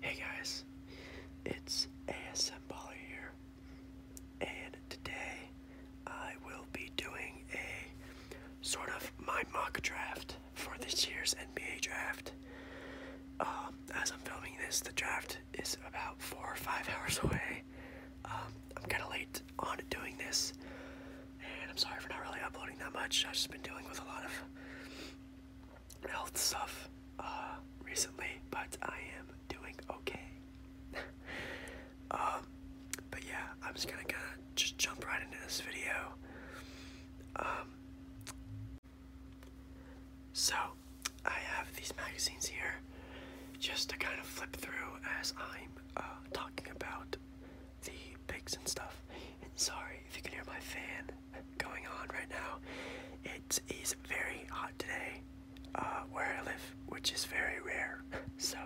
Hey guys, it's ASMBolly here, and today I will be doing a sort of my mock draft for this year's NBA draft. Um, as I'm filming this, the draft is about four or five hours away. Um, I'm kind of late on doing this, and I'm sorry for not really uploading that much. I've just been dealing with a lot of health stuff uh, recently, but I am doing okay. um, but yeah, I'm just gonna kind of just jump right into this video. Um, so I have these magazines here just to kind of flip through as I'm uh, talking about the pigs and stuff sorry if you can hear my fan going on right now. It is very hot today uh, where I live, which is very rare. So,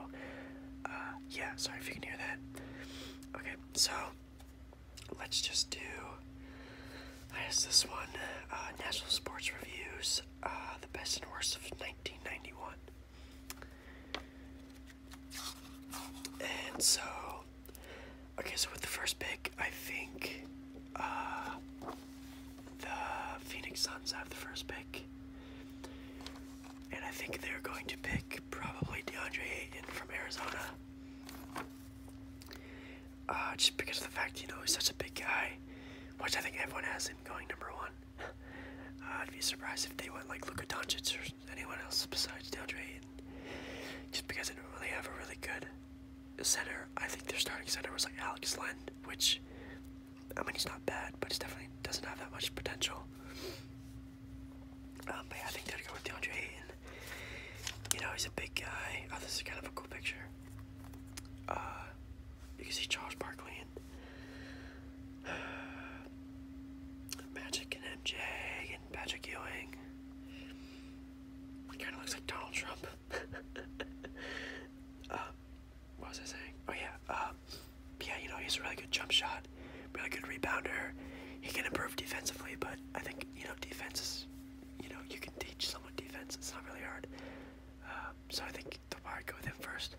uh, yeah, sorry if you can hear that. Okay, so let's just do, I guess this one, uh, National Sports Reviews, uh, the best and worst of 1991. And so, Okay, so with the first pick, I think uh, the Phoenix Suns have the first pick. And I think they're going to pick probably DeAndre Ayton from Arizona. Uh, just because of the fact, you know, he's such a big guy, which I think everyone has him going number one. I'd be surprised if they went like Luka Doncic or anyone else besides DeAndre Ayton. Just because they don't really have a really good center. I think their starting center was like Alex Len, which I mean he's not bad, but he definitely doesn't have that much potential. Um, but I think they're going with DeAndre Ayton. You know, he's a big guy. Oh, this is kind of a cool picture. Uh, you can see Charles Barkley and Magic and MJ and Magic Ewing. He kind of looks like Donald Trump. Uh, what was I saying? Oh yeah. Uh, yeah, you know he's a really good jump shot, really good rebounder. He can improve defensively, but I think you know defense is, you know, you can teach someone defense. It's not really hard. Uh, so I think the wire go with him first.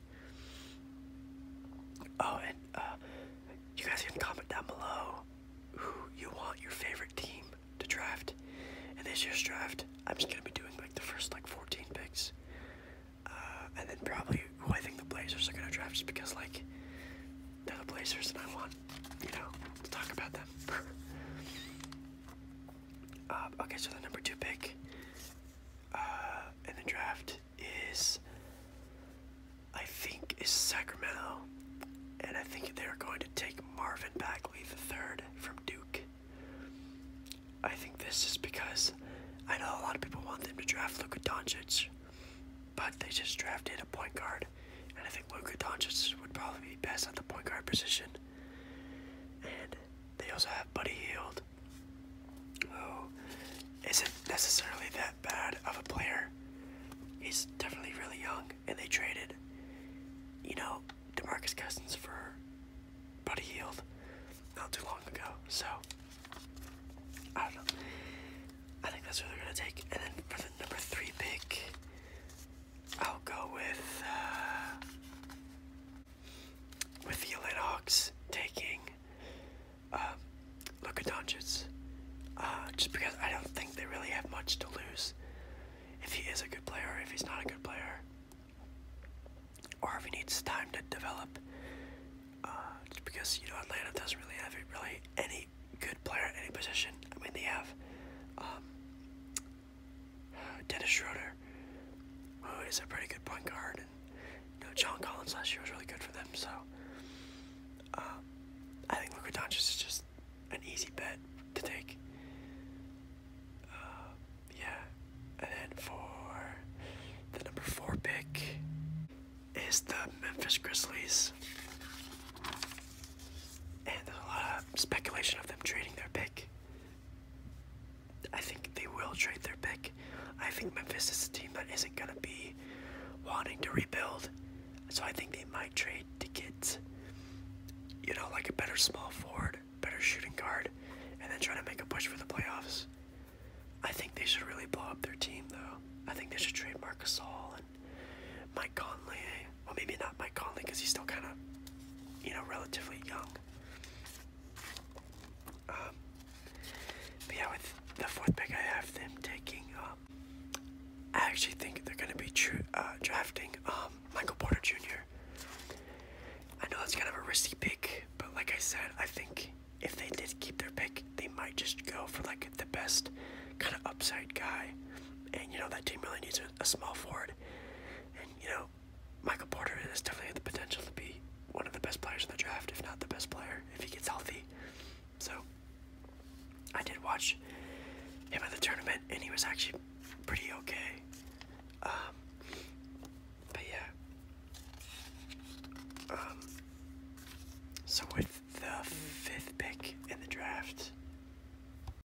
Oh, and you guys can comment down below who you want your favorite team to draft. And this year's draft, I'm just gonna be doing like the first like 14 picks, uh, and then probably who I think the Blazers are gonna draft, just because like they're the Blazers and I want you know to talk about them. uh, okay, so the number two pick uh, in the draft is I think, is Sacramento. And I think they're going to take Marvin Bagley the third from Duke. I think this is because I know a lot of people want them to draft Luka Doncic, but they just drafted a point guard. And I think Luka Doncic would probably be best at the point guard position. And they also have Buddy Hield, is it necessarily that bad of a player. He's definitely really young, and they traded, you know, Demarcus Cousins for Buddy Heald not too long ago. So I don't know. I think that's what they're gonna take. And then for the number three pick, I'll go with uh, with the Atlanta taking um, Luka Doncic, uh, just because I don't think they really have much to lose if he is a good player, if he's not a good player, or if he needs time to develop. Uh, just because you know Atlanta doesn't really have really any good player at any position. I mean they have um, Dennis Schroeder, who is a pretty good point guard, and you know John Collins last year was really good for them. So um, I think Luka Doncic is just an easy bet to take. Uh, yeah, and then for the number four pick is the Memphis Grizzlies, and there's a lot of speculation of them trading their pick. I think they will trade their pick. I think Memphis is a team that isn't gonna be wanting to rebuild. So I think they might trade to get, you know, like a better small forward, better shooting guard, and then try to make a push for the playoffs. I think they should really blow up their team, though. I think they should trade Marcus All and Mike Conley. Well, maybe not Mike Conley because he's still kind of, you know, relatively young. Um, yeah, with the fourth pick, I have them taking uh, um, I actually think they're going to be uh, drafting um, Michael Porter Jr. I know that's kind of a risky pick, but like I said, I think if they did keep their pick, they might just go for like the best kind of upside guy. And you know, that team really needs a, small forward. And you know, Michael Porter is definitely the potential to be one of the best players in the draft, if not the best player, if he gets healthy. So I did watch him at the tournament, and he was actually pretty okay. Um, but yeah. Um, so with the fifth pick in the draft,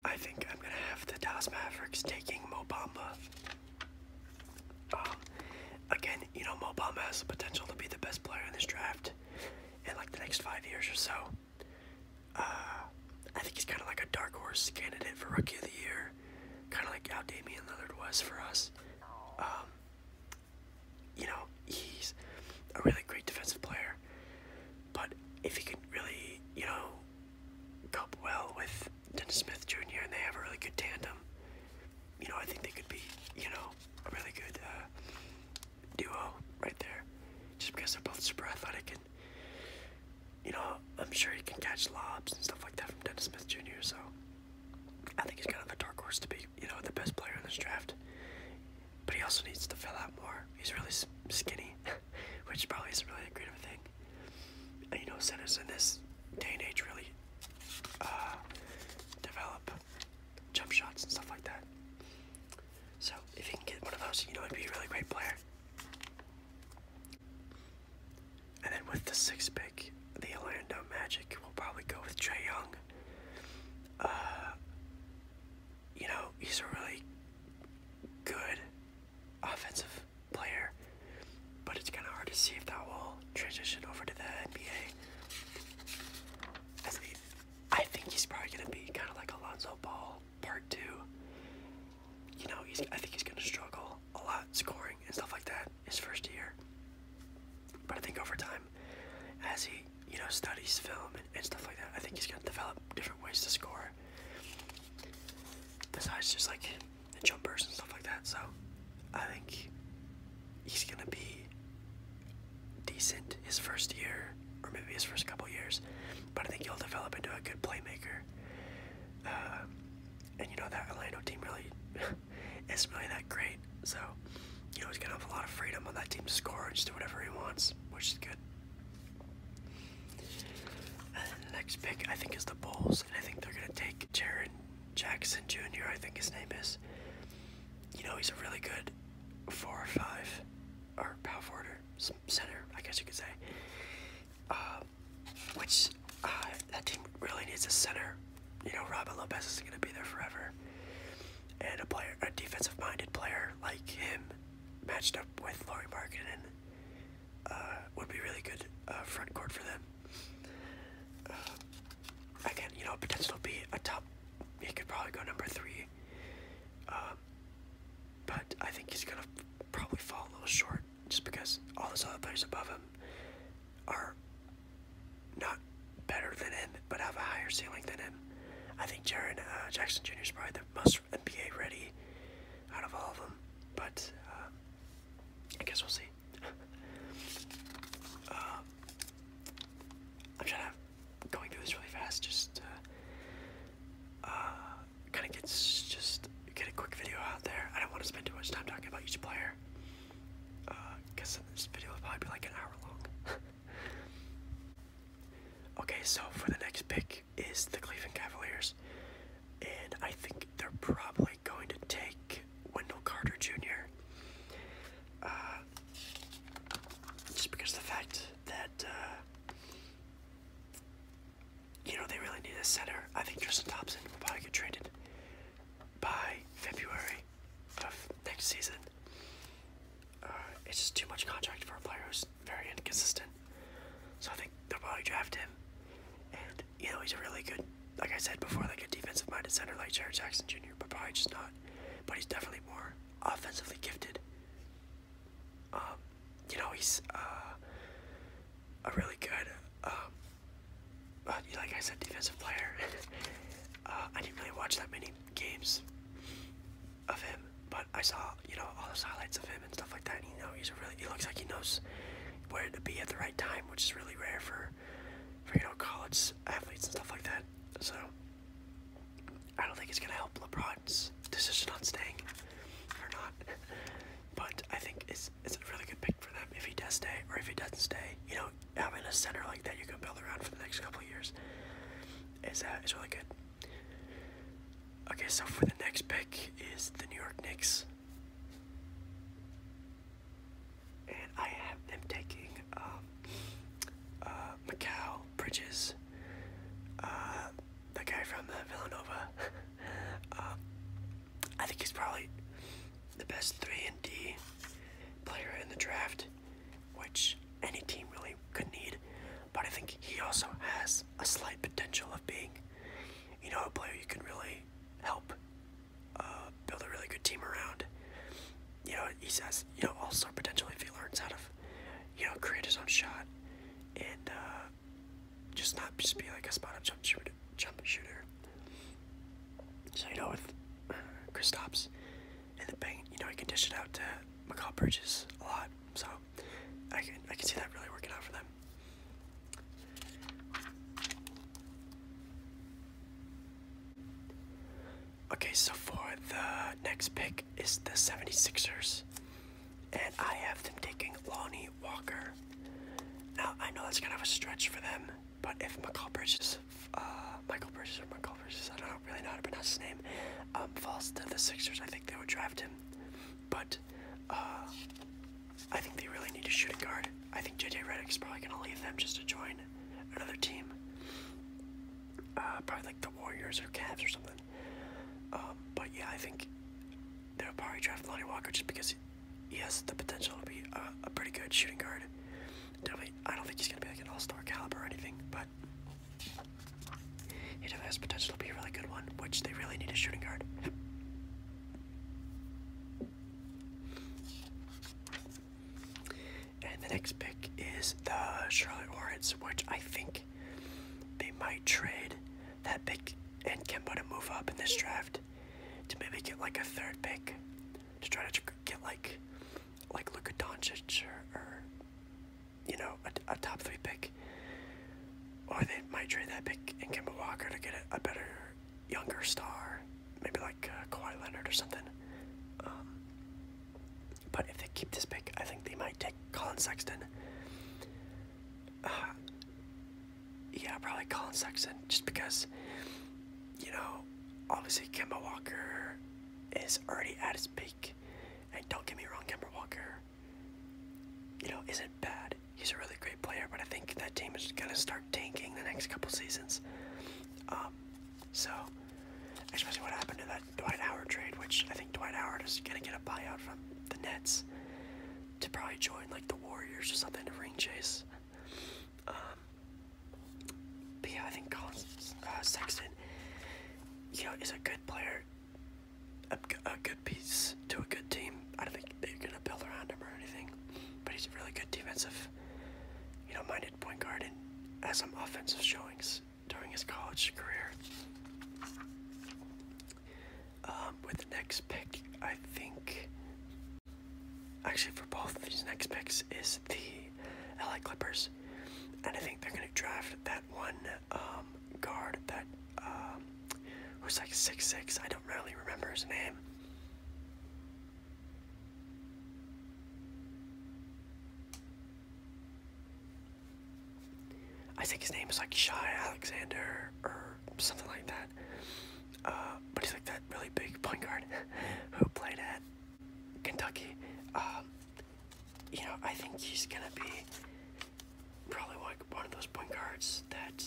I think I'm gonna have the Dallas Mavericks taking Mobamba. Um, again, you know Mobamba has the potential to be the best player in this draft in like the next five years or so. Uh, I think he's kind of like a dark horse candidate for Rookie of the Year, kind of like how Damian Lillard was for us. Um, you know, he's a really great defensive player, but if he can really, you know, cope well with Dennis Smith Jr. and they have a really good tandem, you know, I think they could be, you know, a really good uh, duo right there. Just because they're both super athletic and you know, I'm sure he can catch lobs and stuff like that from Dennis Smith Jr. So I think he's kind of a dark horse to be, you know, the best player in this draft. But he also needs to fill out more. He's really skinny, which probably isn't really a great of a thing. And, you know, centers in this day and age really uh, develop jump shots and stuff like that. So if you can get one of those, you know he'd be a really great player. And then with the sixth pick, the Orlando Magic will probably go with Trey Young. Uh, you know, he's a really good offensive player, but it's kind of hard to see if that will transition over to the NBA. As I think he's probably gonna be kind of like Alonzo Ball part two. You know, he's I think he's gonna struggle a lot scoring and stuff like that his first year. But I think over time, as he you know studies film and, stuff like that, I think he's gonna develop different ways to score. Besides just like the jumpers and stuff like that, so I think he's gonna be decent his first year or maybe his first couple years, but I think he'll develop into a good playmaker. Uh, and you know that Orlando team really isn't really that great, so you know he's gonna have a lot of freedom on that team to score and just do whatever he wants, which is good. next pick I think is the Bulls, and I think they're gonna take Jaron Jackson Jr. I think his name is. You know he's a really good four or five, or power forwarder, center, I guess you could say. Uh, which uh, that team really needs a center. You know, Robin Lopez is going to be there forever, and a player, a defensive-minded player like him, matched up with Laurie Markkinen, uh, would be really good front court for them again, you know, potential be a top. He could probably go number three. Um, but I think he's gonna probably fall a little short just because all those other players above him are not better than him, but have a higher ceiling than him. I think Jaron uh, Jackson Jr. is probably the most NBA ready out of all of them, but uh, I guess we'll see. Uh, I'm trying to go through this really fast just uh, kind of get just get a quick video out there. I don't want to spend too much time talking about each player because uh, this video will probably be like an hour long. okay, so for the next pick is the Cleveland Cavaliers, and I think they're probably going to take Wendell Carter Jr. Uh, just because of the fact that uh, you know they really need a center. I think Tristan Thompson will probably get traded by February of next season. Uh, it's just too much contract for a player who's very inconsistent. So I think they'll probably draft him. And you know he's a really good, like I said before, like a defensive-minded center like Jared Jackson Jr. But probably just not but he's definitely more offensively gifted. Um, you know, he's uh, a really good, um, uh, like I said, defensive player. Uh, I didn't really watch that many games of him, but I saw, you know, all those highlights of him and stuff like that. And, you know, he's really, he looks like he knows where to be at the right time, which is really rare for, for you know, college athletes and stuff like that. So I don't think it's gonna help LeBron's decision on staying or not. But I think it's it's a really good pick for them if he does stay or if he doesn't stay. You know, having a center like that you can build around for the next couple of years is uh, is really good. Okay, so for the next pick is the New York Knicks and I have am taking um, uh, Macau Bridges, uh, the guy from uh, Villanova. um, I think he's probably the best three and D player in the draft, which any team really could need. But I think he also has a slight potential of being, you know, a player you can really help uh, build a really good team around. You know, he says, you know, all star potential if he learns how to, you know, create his own shot and uh, just not just be like a spot up jump shooter. Jump shooter. So, you know, with uh, Chris Kristaps and the bang, you know, he can dish it out to McCall Bridges a lot. So, I can, I can see that really working out for them. Okay, so for the next pick is the 76ers. And I have them taking Lonnie Walker. Now, I know that's kind of a stretch for them, but if McCall Bridges, uh, Michael Bridges or Michael Bridges, I don't know, really know how to pronounce his name, um, falls to the Sixers, I think they would draft him. But uh, I think they really need a shooting guard. I think JJ Redick is probably gonna leave them just to join another team. Uh, probably like the Warriors or Cavs or something. Um, but yeah, I think they'll probably draft Lonnie Walker just because he has the potential to be a, a pretty good shooting guard. Definitely, I don't think he's gonna be like an all-star caliber or anything, but he definitely has potential to be a really good one, which they really need a shooting guard. And the next pick is the Charlotte Hornets, which I think they might trade that pick and Kemba to move up in this draft to maybe get like a third pick to try to get like like Luka Doncic or, you know a, a top three pick, or they might trade that pick and Kemba Walker to get a, a better younger star, maybe like uh, Kawhi Leonard or something. Um, but if they keep this pick, I think they might take Colin Sexton. Uh, yeah, probably Colin Sexton, just because, you know, obviously Kemba Walker is already at his peak. And don't get me wrong, Kemba Walker, you know, isn't bad. He's a really great player, but I think that team is going to start tanking the next couple seasons. Um, so, especially what happened to that Dwight Howard trade, which I think Dwight Howard is gonna get a buyout from the Nets to probably join like the Warriors or something to ring chase. Um, yeah, I think Colin uh, Sexton, you is a good player, a, good piece to a good team. I don't think they're gonna build around him or anything, but he's a really good defensive you know, minded point guard and has some offensive showings during his college career. Um, with the next pick, I think, actually for both these next picks is the LA Clippers, and I think they're going to draft that one um, guard that um, who's like six six. I don't really remember his name. I think his name is like Shy Alexander or something like that. Uh, but he's like that really big point guard who played at Kentucky. Um, you know, I think he's gonna be probably like one of those point guards that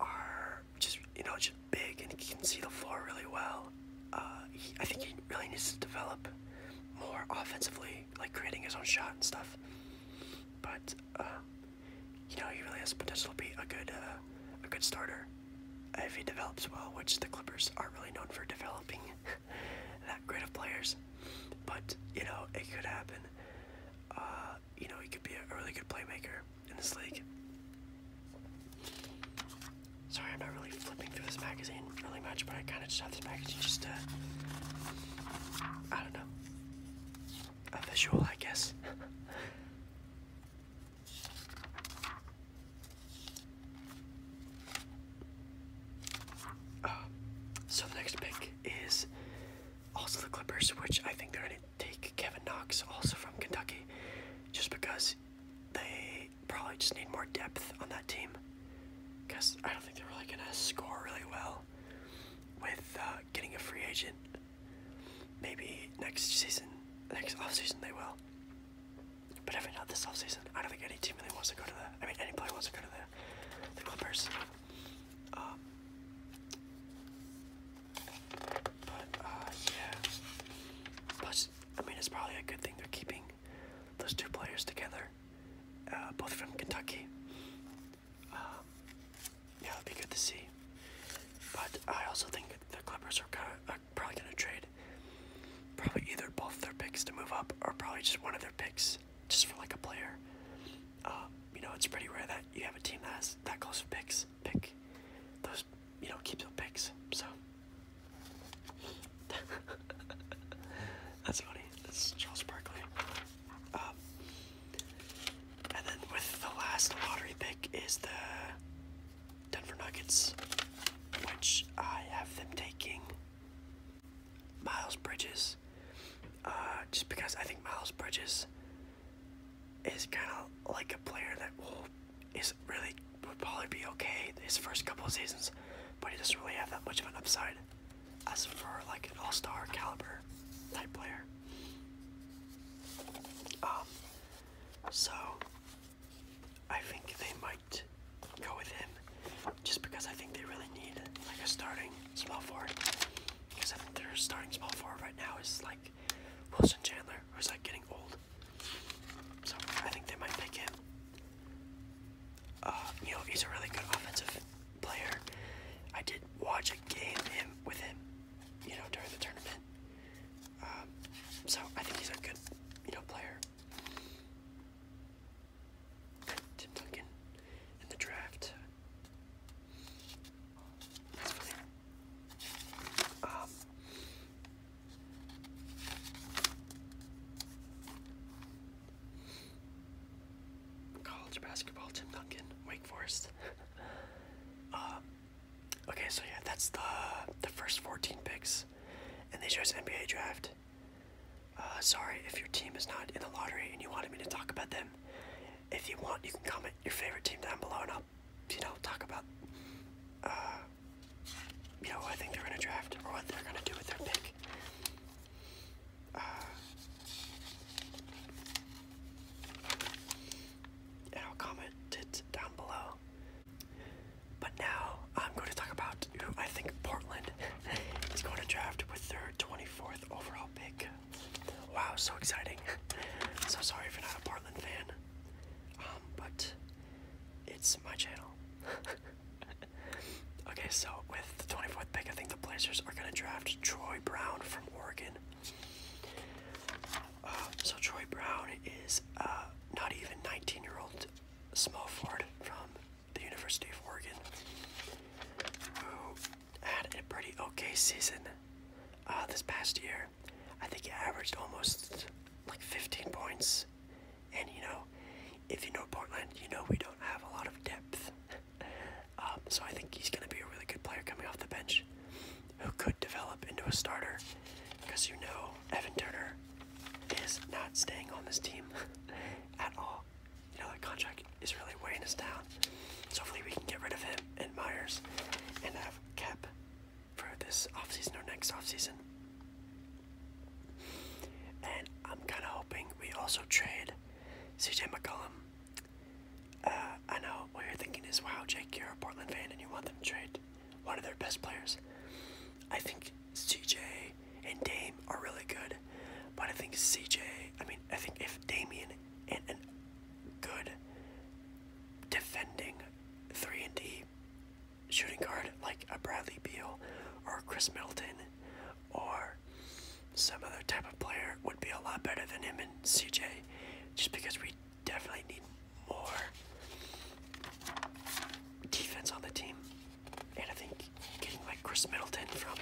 are just you know just big and he can see the floor really well. Uh, I think he really needs to develop more offensively, like creating his own shot and stuff. But uh, you know he really has the potential to be a good uh, a good starter if he develops well, which the Clippers are not really known for developing that great of players. But you know it could happen. Uh, you know he could be a really good playmaker in this league. Sorry, I'm not really flipping through this magazine really much, but I kind of just have this magazine just to, I don't know, a visual, I guess. Uh, so the next pick is also the Clippers, which I think they're in take Kevin Knox, also from Kentucky, just because they probably just need more depth on that team. Because I don't think they're really gonna score really well with uh, getting a free agent. Maybe next season, next off season they will. But if not this off season, I don't think any team really wants to go to the. I mean, any player wants to go to the, the Clippers. Um, but uh, yeah. Plus, I mean, it's probably a good thing they're keeping those two players together, uh, both from Kentucky. Um, yeah, it would be good to see. But I also think the Clippers are, kinda, uh, probably going to trade probably either both their picks to move up, or probably just one of their picks just for like a player. Uh, you know, it's pretty rare that you have a team that has that close of picks pick. Those, you know, keep your picks. So that's funny. That's Charles Barkley. Um, and then with the last lottery pick is the Denver Nuggets, which I have them taking Miles Bridges, uh, just because I think Miles Bridges is kind of like a player that will really would probably be okay his first couple of seasons, but he doesn't really have that much of an upside as for like an all-star caliber type player. Um, so I think they might go with him just because I think they really need like a starting small forward because I think their starting small forward right now is like Wilson Chandler, is like getting old. So I think they might pick him. Uh, you know, he's a really good offensive player. I did watch a game him with him, you know, during the tournament. Um, so I think he's a good, you know, player. Tim Duncan in the draft. Um, college basketball, Tim Duncan, Wake Forest. Um, okay, so yeah, that's the the first 14 picks, and they chose NBA draft. Uh, sorry if your team is not in the lottery and you wanted me to talk about them. If you want, you can comment your favorite team down below, and I'll you know, talk about, uh, you know, I think they're going to draft or what they're going to do with their pick. Uh, and I'll comment it down below. But now I'm going to talk about who I think Portland is going to draft with their 24th overall pick. Wow, so exciting. so sorry if you're not a Portland fan. Um, but it's my channel. okay, so with the 24th pick, I think the Blazers are going to draft Troy Brown from Oregon. Uh, so Troy Brown is uh, not even 19-year-old small forward from the University of Oregon had a pretty okay season uh, this past year. I think he averaged almost like 15 points. And you know, if you know Portland, you know we don't have a lot of depth. um, so I think he's going to be a really good player coming off the bench who could develop into a starter because you know Evan Turner is not staying on this team at all. You know, that contract is really weighing us down hopefully we can get rid of him and Myers and have Cap for this offseason or next offseason. And I'm kind of hoping we also trade CJ McCollum. Uh, I know what you're thinking is, wow, Jake, you're a Portland fan and you want them to trade one of their best players. I think CJ and Dame are really good, but I think CJ, I mean, I think if Damian and good defending 3 and D shooting guard like a Bradley Beal or Chris Middleton or some other type of player would be a lot better than him and CJ just because we definitely need more defense on the team. And I think getting like Chris Middleton from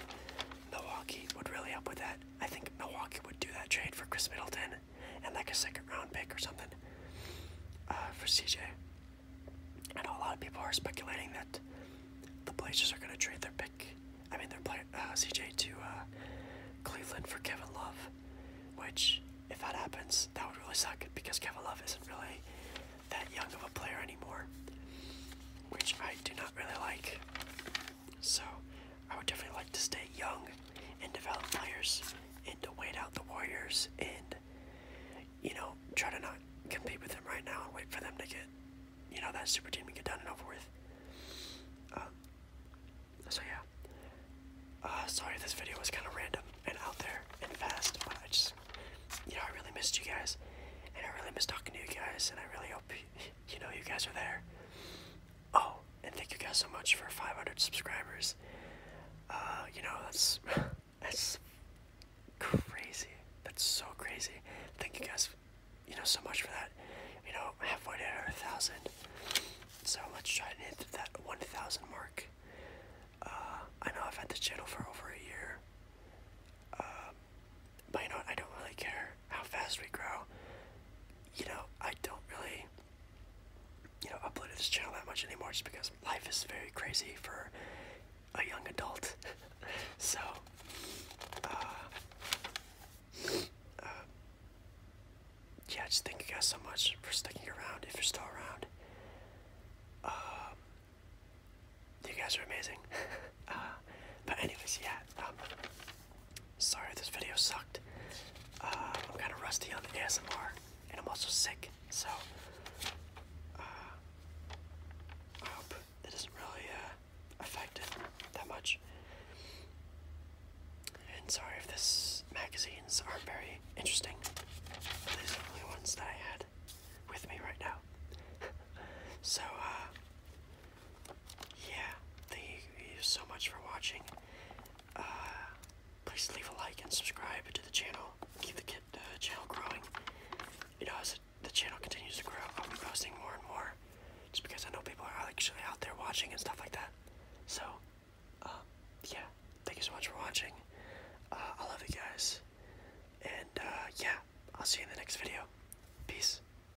Milwaukee would really help with that. I think Milwaukee would do that trade for Chris Middleton and like a second round pick or something uh, for CJ. I know a lot of people are speculating that the Blazers are going to trade their pick, I mean they're playing uh, CJ to uh, Cleveland for Kevin Love, which if that happens, that would really suck because Kevin Love isn't really that young of a player anymore, which I do not really like. So, I would definitely like to stay young and develop players and to wait out the Warriors and, you know, try to not compete with them right now and wait for them to get, you know, that super team to get done and over with. Um, so, yeah. Uh, sorry this video was kind of random and out there and fast, but I just, you know, I really missed you guys. And I really miss talking to you guys, and I really hope, you know, you guys are there. Oh, and thank you guys so much for 500 subscribers. Uh, you know, that's that's crazy. That's so crazy. Thank you guys, you know, so much for that. You know, halfway to a thousand. So let's try and hit that 1,000 mark. Uh, I know I've had this channel for over a year. Uh, but you know I don't really care how fast we grow. You know, I don't really, you know, uploaded this channel that much anymore just because life is very crazy for a young adult. so, uh, uh, yeah, just thank you guys so much for sticking around if you're still around. Um, you guys are amazing. Uh, but anyways, yeah. Um, Sorry this video sucked. Uh, I'm kind of rusty on the ASMR, and I'm also sick, so uh, I hope it doesn't really uh, affect it that much. And sorry if this magazines aren't very interesting. these are the only ones that I had with me right now. so, uh, yeah, thank you so much for watching. Uh, please leave a like and subscribe to the channel. Keep the, uh, channel growing. You know, as the channel continues to grow, I'll be posting more and more. Just because I know people are actually out there watching and stuff like that. So, um, yeah, thank you so much for watching. Uh, I love you guys. And, yeah, I'll see you in the next video. Peace.